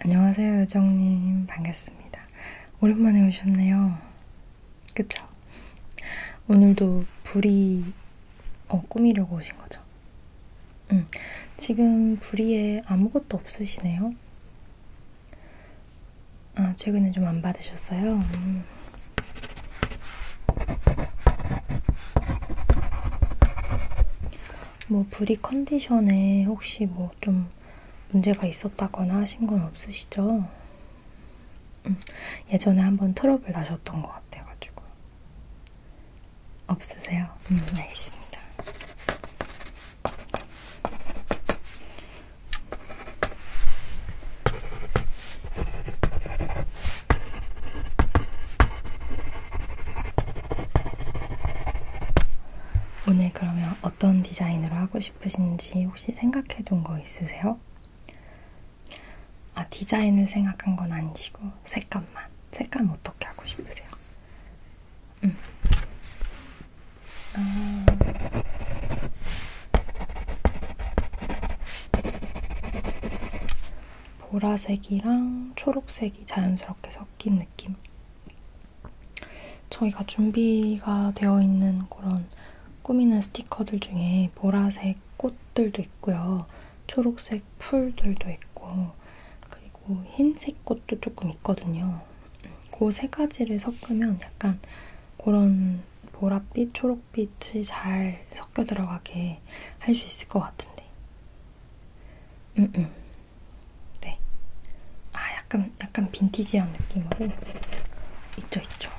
안녕하세요, 요정님. 반갑습니다. 오랜만에 오셨네요. 그쵸? 오늘도 불이 어, 꾸미려고 오신 거죠? 음, 지금 부리에 아무것도 없으시네요. 아, 최근에 좀 안 받으셨어요? 음. 뭐 부리 컨디션에 혹시 뭐 좀 문제가 있었다거나 하신 건 없으시죠? 음, 예전에 한번 트러블 나셨던 것 같아가지고 없으세요? 음, 알겠습니다. 오늘 그러면 어떤 디자인으로 하고 싶으신지 혹시 생각해 둔거 있으세요? 아, 디자인을 생각한 건 아니시고 색감만. 색감 어떻게 하고 싶으세요? 음. 어... 보라색이랑 초록색이 자연스럽게 섞인 느낌. 저희가 준비가 되어 있는 그런 꾸미는 스티커들 중에 보라색 꽃들도 있고요. 초록색 파란색 풀들도 있고 그리고 흰색 꽃도 조금 있거든요. 그 세 가지를 섞으면 약간 그런 보랏빛, 초록빛이 잘 섞여 들어가게 할 수 있을 것 같은데. 음, 음. 네. 아, 약간, 약간 빈티지한 느낌으로. 있죠, 있죠.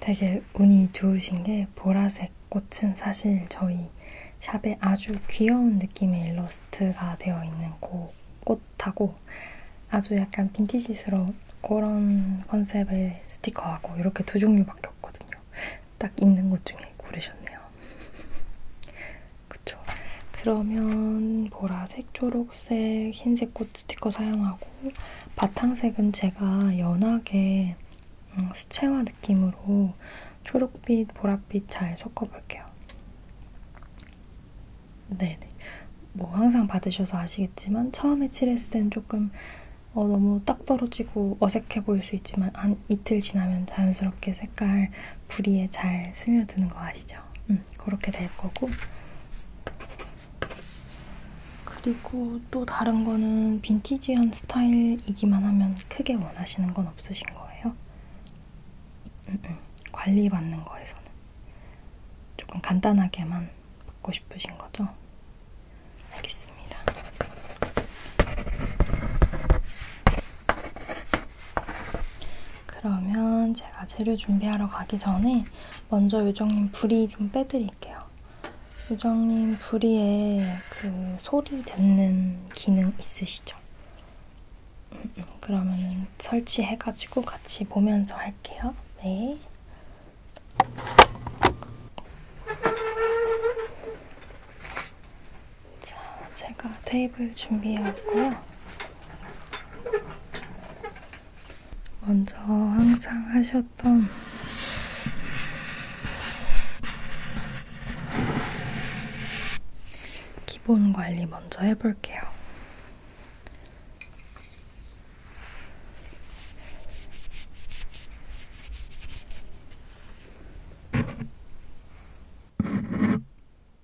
되게 운이 좋으신 게 보라색 꽃은 사실 저희 샵에 아주 귀여운 느낌의 일러스트가 되어 있는 고, 꽃하고 아주 약간 빈티지스러운 그런 컨셉의 스티커하고 이렇게 두 종류밖에 없거든요. 딱 있는 것 중에 고르셨네요. 그쵸. 그러면 보라색, 초록색, 흰색 꽃 스티커 사용하고 바탕색은 제가 연하게 음, 수채화 느낌으로 초록빛, 보랏빛 잘 섞어볼게요. 네네. 뭐 항상 받으셔서 아시겠지만 처음에 칠했을 때는 조금 어, 너무 딱 떨어지고 어색해 보일 수 있지만 한 이틀 지나면 자연스럽게 색깔 부리에 잘 스며드는 거 아시죠? 음, 그렇게 될 거고 그리고 또 다른 거는 빈티지한 스타일이기만 하면 크게 원하시는 건 없으신 거예요? 음, 음, 관리받는 거에서는 조금 간단하게만 받고 싶으신 거죠? 알겠습니다. 그러면 제가 재료 준비하러 가기 전에 먼저 요정님 부리 좀 빼드릴게요. 요정님 부리에 그 소리 듣는 기능 있으시죠? 그러면 설치해가지고 같이 보면서 할게요. 네. 자, 제가 테이블 준비해왔고요. 먼저 항상 하셨던 기본 관리 먼저 해볼게요.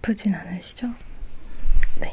아프진 않으시죠? 네.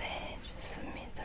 네, 좋습니다.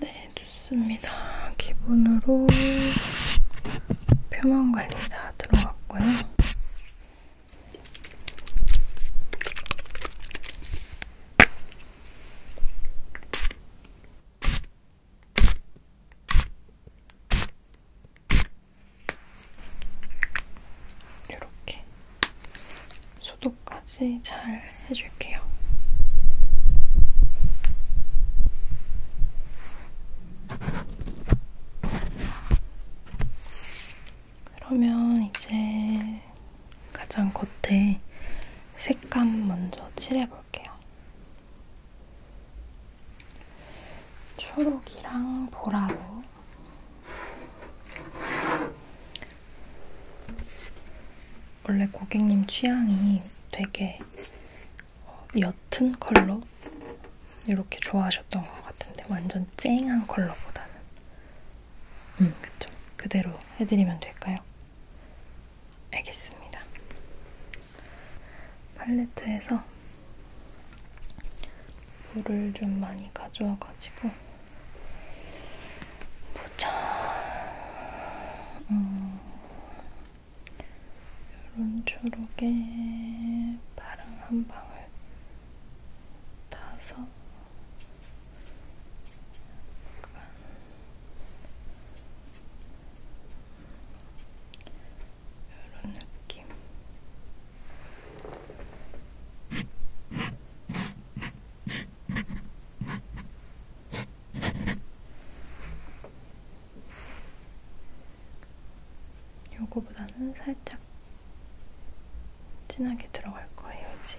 네, 좋습니다. 기본으로 표면 관리 다 들어갔고요. 이렇게 소독까지 잘 해줄게요. 그러면 이제 가장 겉에 색감 먼저 칠해볼게요. 초록이랑 보라로 원래 고객님 취향이 되게 어, 옅은 컬러 이렇게 좋아하셨던 것 같은데 완전 쨍한 컬러보다는 음 그쵸 그대로 해드리면 될까요? 알겠습니다. 팔레트에서 물을 좀 많이 가져와가지고 보자. 음, 이런 초록에 파랑 한 방울 타서 약간 이런 느낌. 요거보다는 살짝 진하게 들어갈 거예요, 이제.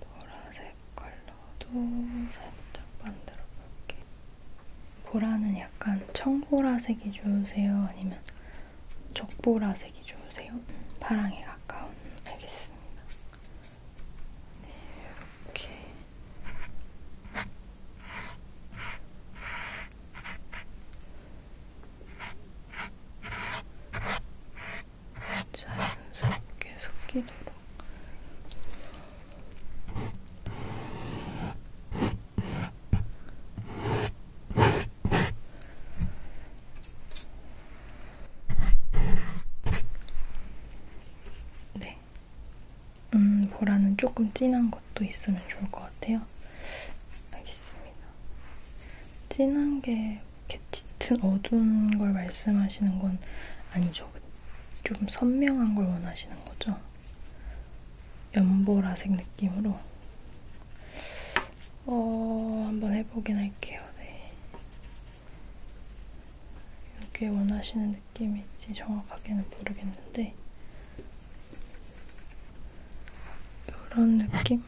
보라색 컬러도 살짝 만들어 볼게. 보라는 약간 청보라색이 좋으세요? 아니면 적보라색이 좋으세요? 파랑에 가까운. 알겠습니다. 네, 이렇게. 자연스럽게 섞이도록 네. 음, 보라는 조금 진한 것도 있으면 좋을 것 같아요. 알겠습니다. 진한 게 이렇게 짙은 어두운 걸 말씀하시는 건 아니죠. 좀 선명한 걸 원하시는 거죠. 연보라색 느낌으로. 어, 한번 해보긴 할게요. 네. 이게 원하시는 느낌인지 정확하게는 모르겠는데 이런 느낌?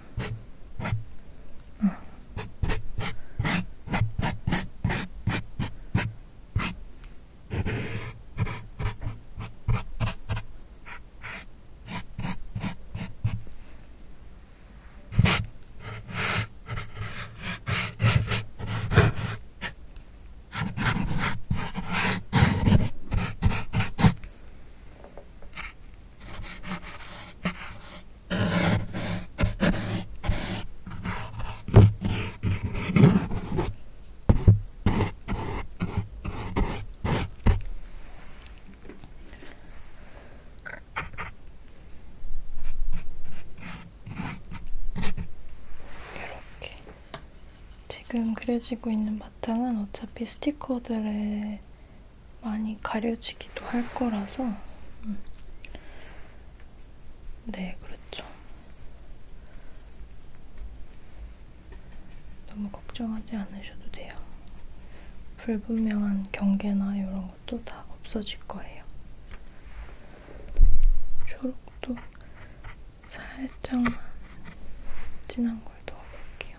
어. 이렇게 지금 그려지고 있는 바탕은 어차피 스티커들의 많이 가려지기도 할 거라서 음. 네, 그렇죠. 너무 걱정하지 않으셔도 돼요. 불분명한 경계나 이런 것도 다 없어질 거예요. 초록도 살짝만 진한 걸 넣어볼게요.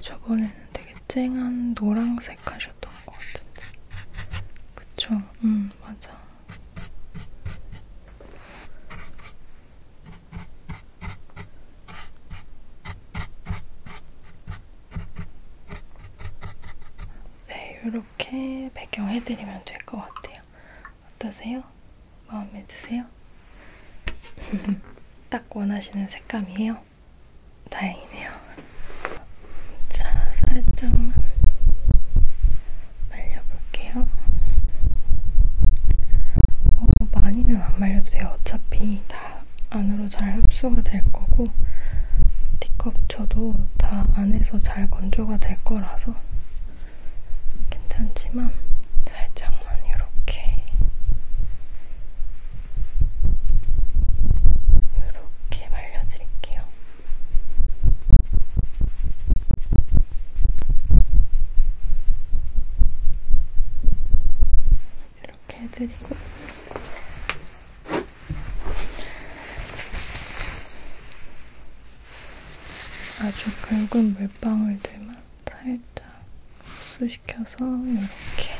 저번에는 되게 쨍한 노란색 하셨던 것 같은데. 그쵸? 음, 맞아. 네, 이렇게 배경 해드리면 될 것 같아요. 어떠세요? 마음에 드세요? 딱 원하시는 색감이에요? 다행이네요. 자, 살짝만 말려볼게요. 어, 많이는 안 말려도 돼요. 어차피 다 안으로 잘 흡수가 될 거고 티컵 쳐도 다 안에서 잘 건조가 될 거라서 괜찮지만 살짝만 이렇게 이렇게 말려드릴게요. 이렇게 해드리고 아주 굵은 물방울들만 살짝 흡수시켜서 이렇게 이렇게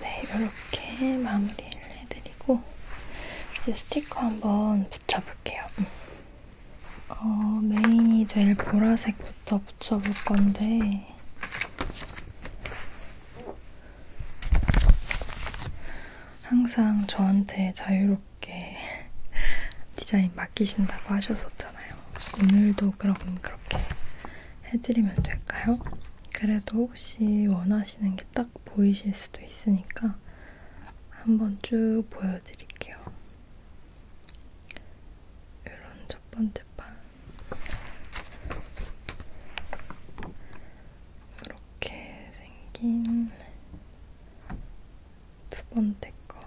네, 이렇게 마무리를 해드리고 이제 스티커 한번 붙여볼게요. 어, 메인이 될 보라색부터 붙여볼 건데 항상 저한테 자유롭게 이렇게 디자인 맡기신다고 하셨었잖아요. 오늘도 그럼 그렇게 해드리면 될까요? 그래도 혹시 원하시는 게 딱 보이실 수도 있으니까 한번 쭉 보여드릴게요. 이런 첫 번째 판. 이렇게 생긴 두 번째 거.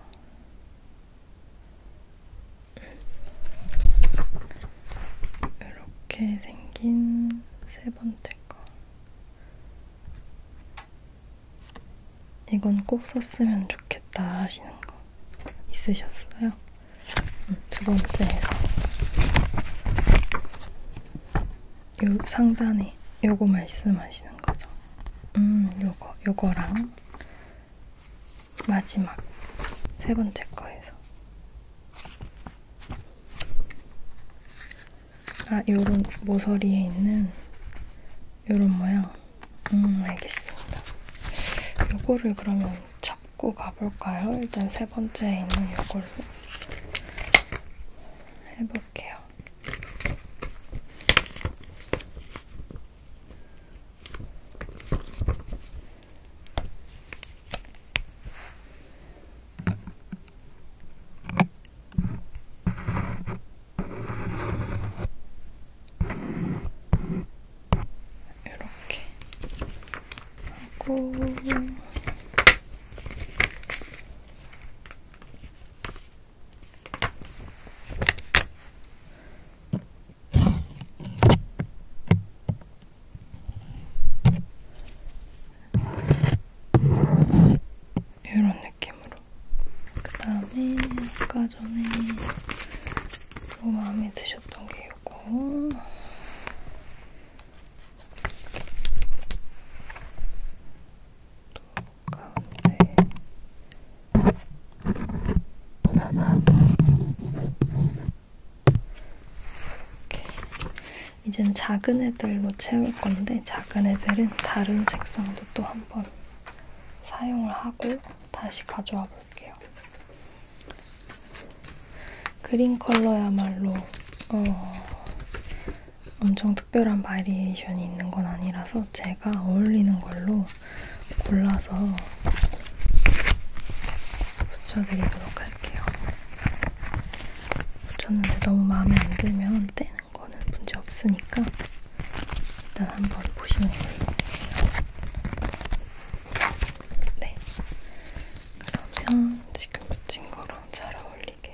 이렇게 생긴 세 번째 거. 이건 꼭 썼으면 좋겠다 하시는 거 있으셨어요? 두 번째에서 요 상단에 요거 말씀하시는 거죠. 음, 요거, 요거랑 마지막 세 번째 거에서 아, 요런 모서리에 있는 요런 모양. 음, 알겠습니다. 요거를 그러면 잡고 가볼까요? 일단 세 번째에 있는 요걸로 해볼게요. 이렇게 하고 이런 느낌으로. 그 다음에 아까 전에 또 마음에 드셨던 게 이거. 또 가운데 이렇게 이젠 작은 애들로 채울 건데 작은 애들은 다른 색상도 또 한 번 사용을 하고 다시 가져와 볼게요. 그린 컬러야말로 어, 엄청 특별한 바리에이션이 있는 건 아니라서 제가 어울리는 걸로 골라서 붙여드리도록 할게요. 붙였는데 너무 마음에 안 들면 떼는 거는 문제 없으니까 일단 한번 보시는 걸로 네, 그러면 지금 붙인 거랑 잘 어울리게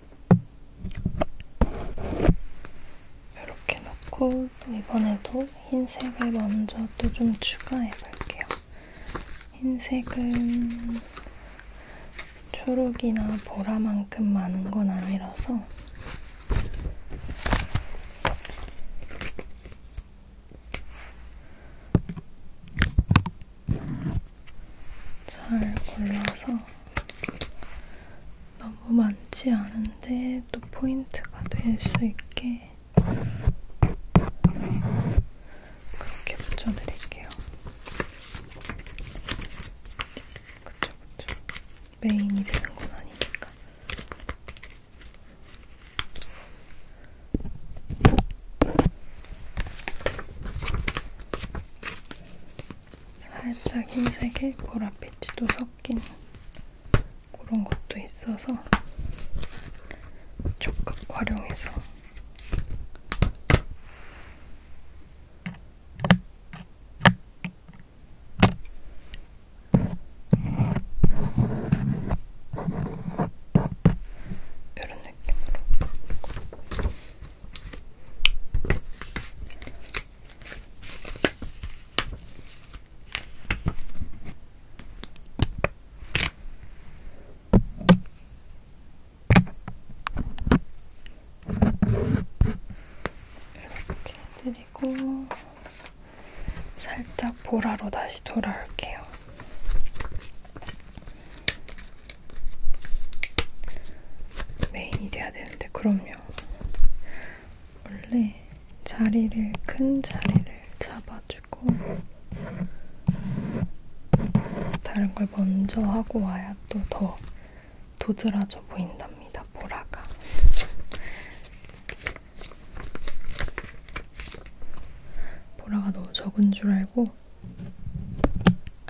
이렇게 넣고 또 이번에도 흰색을 먼저 또 좀 추가해볼게요. 흰색은 초록이나 보라만큼 많은 건 아니라서 잘 골라서 너무 많지 않은데 또 포인트가 될 수 있게 그렇게 붙여드릴게요. 그쵸, 그쵸. 메인이 되는 건 아니니까. 살짝 흰색에 보랏빛도 섞인 그런 것도 있어서 적극 활용해서 이런 느낌으로 이렇게 해드리고 살짝 보라로 다시 돌아올게요. 메인이 돼야 되는데 그럼 그럼요. 원래 자리를 큰 자리를 잡아주고 다른 걸 먼저 하고 와야 또 더 도드라져 보인답니다. 보라가. 보라가 너무 적은 줄 알고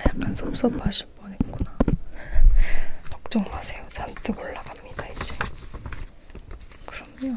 약간 섭섭하실 떨어질 뻔했구나. 걱정 마세요. 잔뜩 올라갑니다 이제. 그럼요.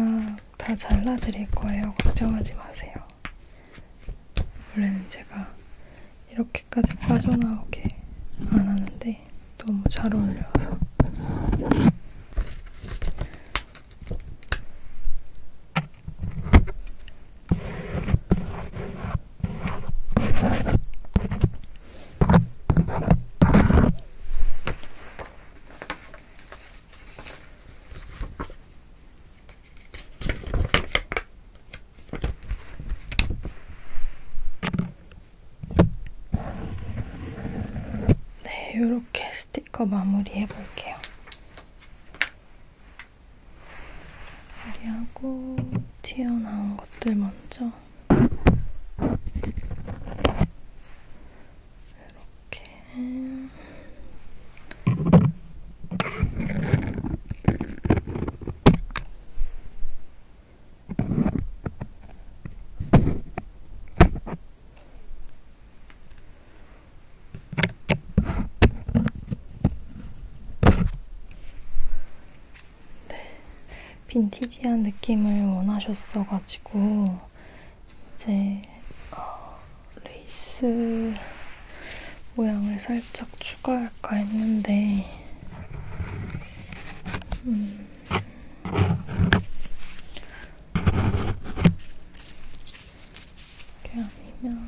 아, 다 잘라드릴 거예요. 걱정하지 마세요. 원래는 제가 이렇게까지 빠져나오게 안 하는데 너무 잘 어울려서 네, 이렇게 스티커 마무리 해볼게요. 여기하고 튀어나온 것들 먼저 이렇게 이렇게 네, 빈티지한 느낌을 원하셨어가지고 이제 어, 레이스 모양을 살짝 추가할까 했는데 음, 이렇게 아니면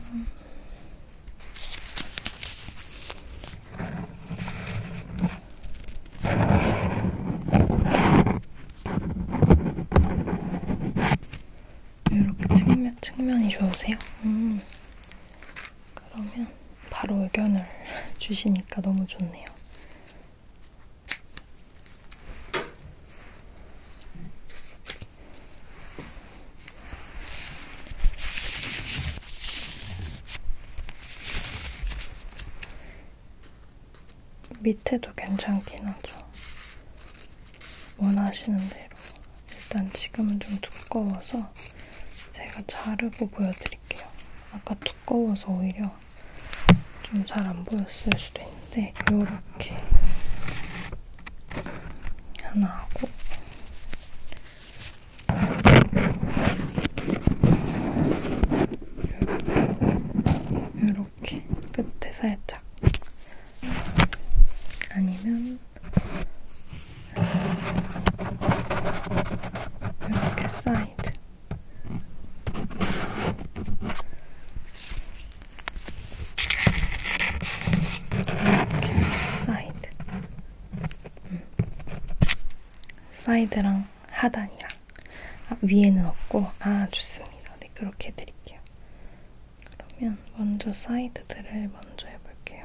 이렇게 측면 측면이 좋으세요? 음. 그러면 바로 의견을 주시니까 너무 좋네요. 밑에도 괜찮긴 하죠. 원하시는 대로. 일단 지금은 좀 두꺼워서 제가 자르고 보여드릴게요. 아까 두꺼워서 오히려 좀 잘 안 보였을 수도 있는데 요렇게 하나 하고 요렇게 끝에 살짝 아니면 이렇게 사이드 이렇게 사이드 음. 사이드랑 하단이랑 아, 위에는 없고 아 좋습니다 네 그렇게 해드릴게요 그러면 먼저 사이드들을 먼저 해볼게요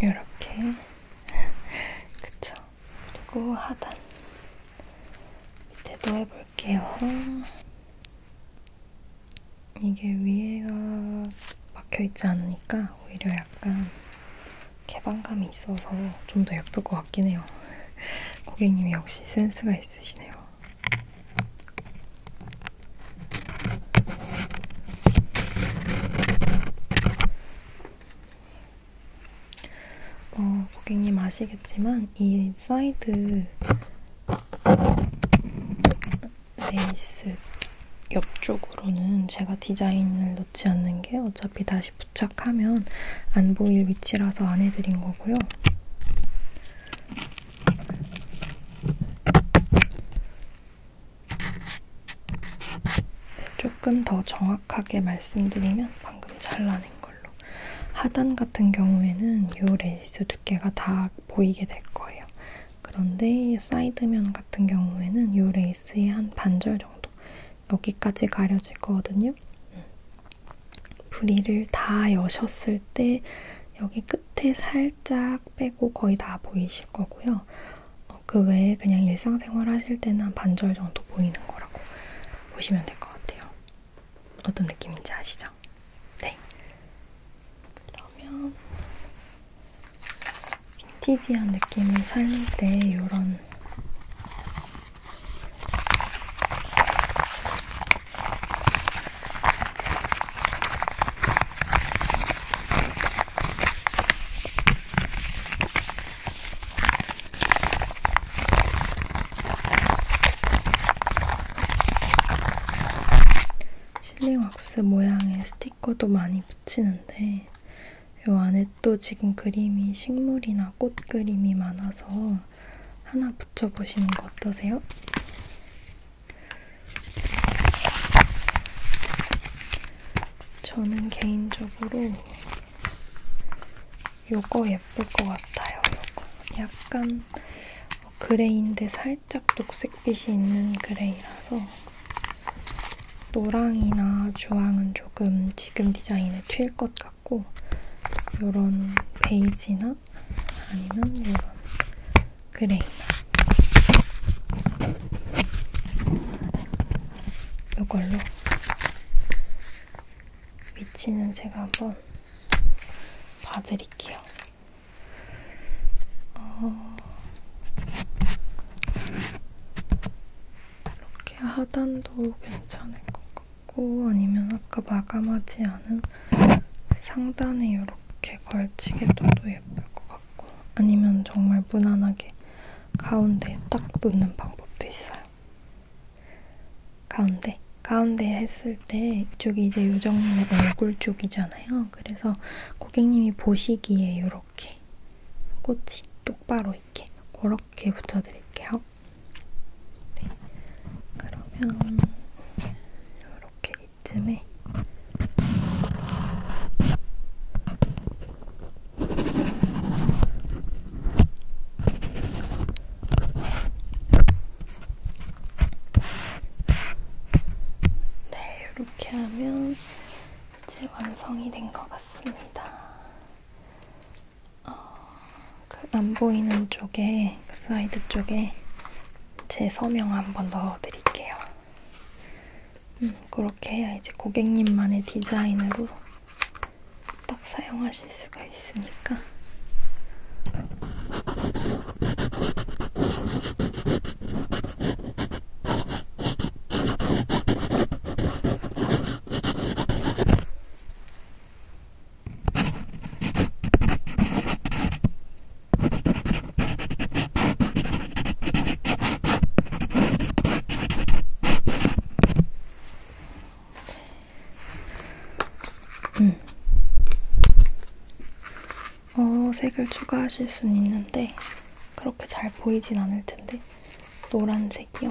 이렇게 그쵸? 그리고 하단 밑에도 해볼게요. 이게 위에가 막혀있지 않으니까 오히려 약간 개방감이 있어서 좀 더 예쁠 것 같긴 해요. 고객님이 역시 센스가 있으시네요. 어, 고객님 아시겠지만 이 사이드 레이스 옆쪽으로는 제가 디자인을 넣지 않는 게 어차피 다시 부착하면 안 보일 위치라서 안 해드린 거고요. 조금 더 정확하게 말씀드리면 방금 잘라낸 걸로 하단 같은 경우에는 이 레이스 두께가 다 보이게 될 거예요. 그런데 사이드면 같은 경우에는 이 레이스의 한 반절 정도 여기까지 가려질 거거든요. 부리를 다 여셨을 때 여기 끝에 살짝 빼고 거의 다 보이실 거고요. 어, 그 외에 그냥 일상생활 하실 때는 한 반절 정도 보이는 거라고 보시면 될 것 같아요. 어떤 느낌인지 아시죠? 네. 그러면 빈티지한 느낌을 살릴 때 이런 실링왁스 모양의 스티커도 많이 붙이는데 요 안에 또 지금 그림이 식물이나 꽃 그림이 많아서 하나 붙여보시는 거 어떠세요? 저는 개인적으로 요거 예쁠 것 같아요. 요거 약간 그레이인데 살짝 녹색빛이 있는 그레이라서 노랑이나 주황은 조금 지금 디자인에 튈 것 같고 요런 베이지나 컬러나 아니면 이런 뭐, 그레이 이걸로 위치는 제가 한번 봐드릴게요. 어... 이렇게 하단도 괜찮을 것 같고 꽂고 아니면 아까 마감하지 않은 상단에 이렇게 걸치게도 예쁠 것 같고 아니면 정말 무난하게 가운데에 딱 놓는 방법도 있어요. 가운데? 가운데 했을 때 이쪽이 이제 요정님의 얼굴 쪽이잖아요. 그래서 고객님이 보시기에 이렇게 꽃이 똑바로 이렇게 그렇게 붙여드릴게요. 네. 그러면 이렇게 이쯤에 네, 이렇게 하면 이제 완성이 된 것 같습니다. 어, 그안 보이는 쪽에, 그 사이드 쪽에 제 서명 한번 넣어드릴게요. 음, 그렇게 해야 이제 고객님만의 디자인으로 딱 사용하실 수가 있으니까. 음. 어, 색을 추가하실 수는 있는데 그렇게 잘 보이진 않을 텐데 노란색이요.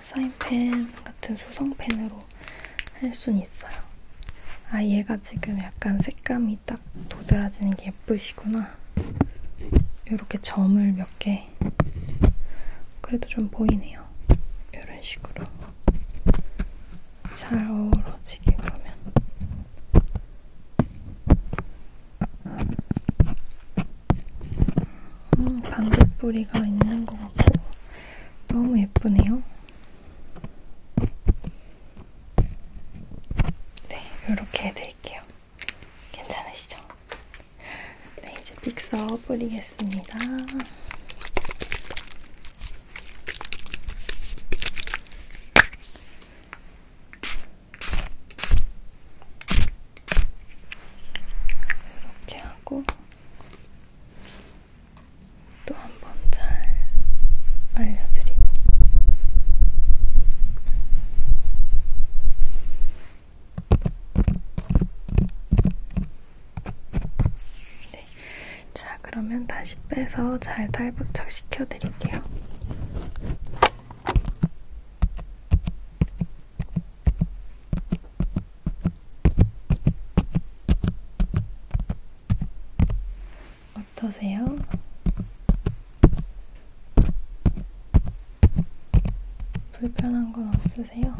사인펜 같은 수성펜으로 할 순 있어요. 아 얘가 지금 약간 색감이 딱 도드라지는 게 예쁘시구나. 이렇게 점을 몇 개. 그래도 좀 보이네요. 이런 식으로. 잘 어우러지게 그러면. 음, 반딧불이가 있는 것 같고 너무 예쁘네요. 네, 이렇게 해드릴게요. 괜찮으시죠? 네, 이제 픽서 뿌리겠습니다. 이렇게 하고 또한번잘 알려드리고 네. 자, 그러면 다시 빼서 잘 탈부착 시켜드릴게요. 어떠세요? 불편한 건 없으세요?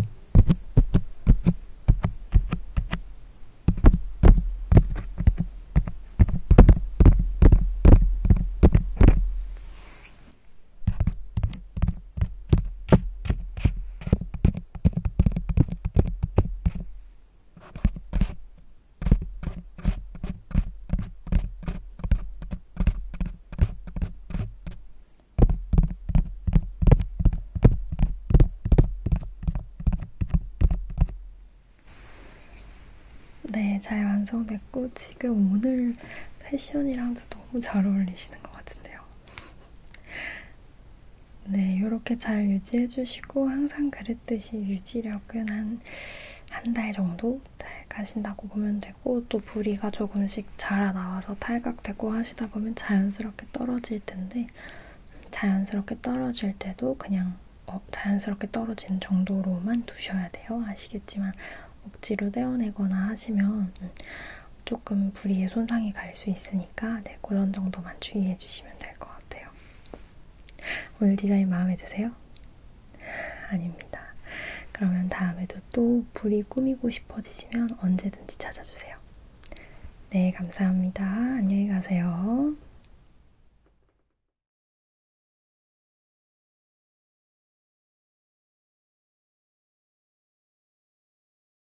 네, 잘 완성됐고 지금 오늘 패션이랑도 너무 잘 어울리시는 것 같은데요. 네, 이렇게 잘 유지해 주시고 항상 그랬듯이 유지력은 한 한 달 정도 잘 가신다고 보면 되고 또 부리가 조금씩 자라 나와서 탈각되고 하시다 보면 자연스럽게 떨어질 텐데 자연스럽게 떨어질 때도 그냥 어, 자연스럽게 떨어진 정도로만 두셔야 돼요. 아시겠지만 억지로 떼어내거나 하시면 음, 조금 부리에 손상이 갈 수 있으니까 네, 그런 정도만 주의해 주시면 될 것 같아요. 오늘 디자인 마음에 드세요? 아닙니다. 그러면 다음에도 또 부리 꾸미고 싶어지시면 언제든지 찾아주세요. 네, 감사합니다. 안녕히 가세요.